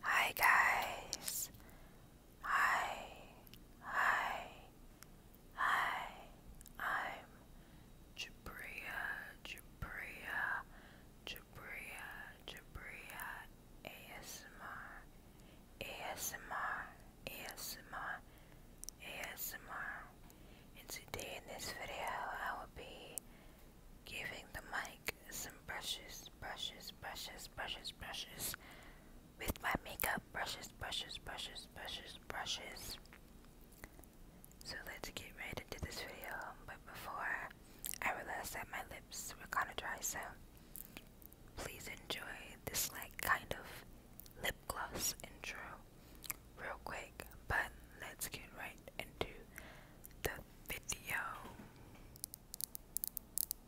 Hi guys. Hi. Hi. Hi. I'm Jabria, Jabria, Jabria, Jabria ASMR. ASMR, ASMR, ASMR. And today in this video I will be giving the mic some brushes, brushes, brushes, brushes, brushes with my makeup brushes, brushes, brushes, brushes, brushes. So let's get right into this video. But before, I realized that my lips were kind of dry, so please enjoy this like kind of lip gloss intro real quick. But let's get right into the video. Just a little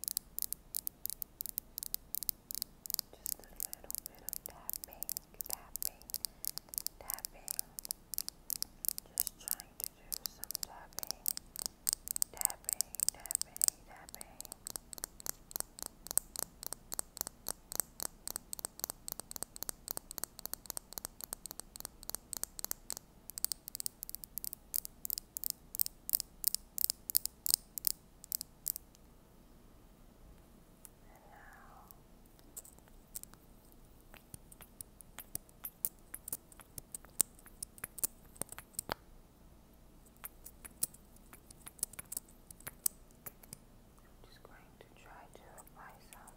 bit of tapping, tapping, tapping. Just trying to do some tapping, tapping, tapping, tapping. And now I'm just going to try to apply some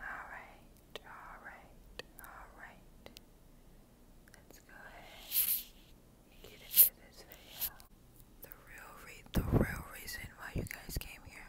Alright, alright, alright. Let's go ahead get into this video. The real the real reason why you guys came here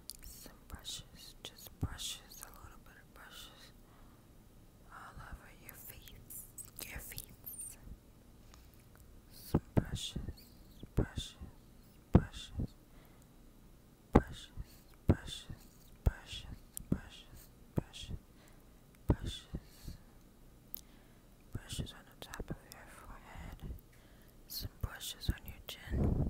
some brushes, just brushes, a little bit of brushes all over your face, your face. Some brushes, brushes, brushes, brushes, brushes, brushes, brushes, brushes, brushes, brushes on the top of your forehead, some brushes on your chin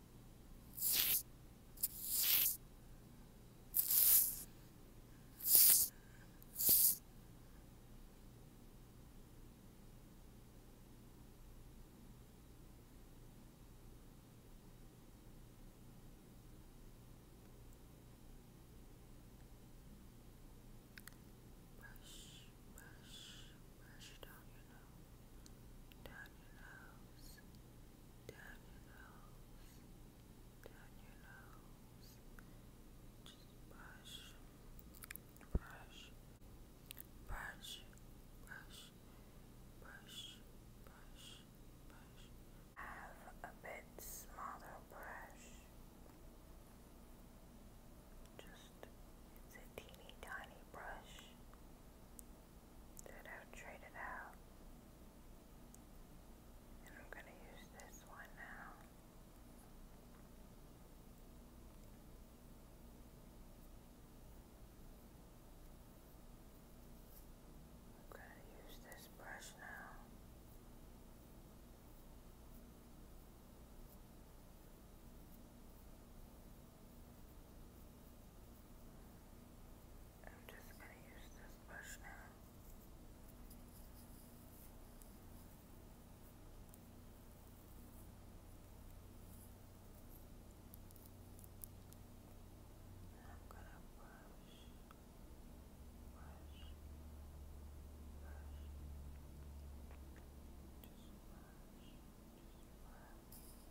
Brush, brush, brush down your nose, down your nose, down your nose, down your nose. Just brush, brush, brush, brush, brush, brush, Have a bit smaller brush. Just it's a teeny tiny brush that I've traded out. And I'm going to use this one now. I'm going to use this brush now. I'm just going to use this brush now. I'm going to brush, brush, brush, just brush, brush.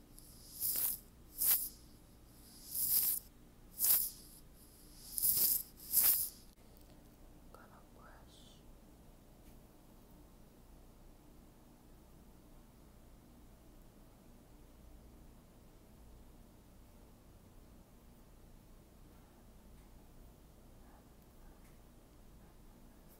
Gonna brush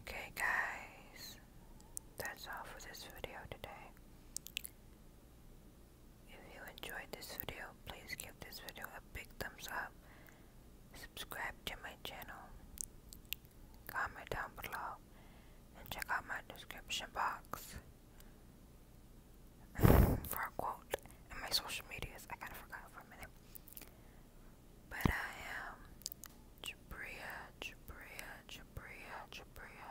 Okay, guys, that's all for this video today. If you enjoyed this video, please give this video a big thumbs up. Subscribe to my channel. Comment down below and check out my description box for a quote and my social medias. I kind of forgot for a minute. But I am Jabria, Jabria, Jabria, Jabria,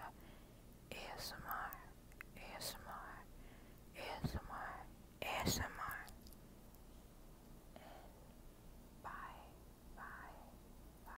ASMR, bye, bye, bye.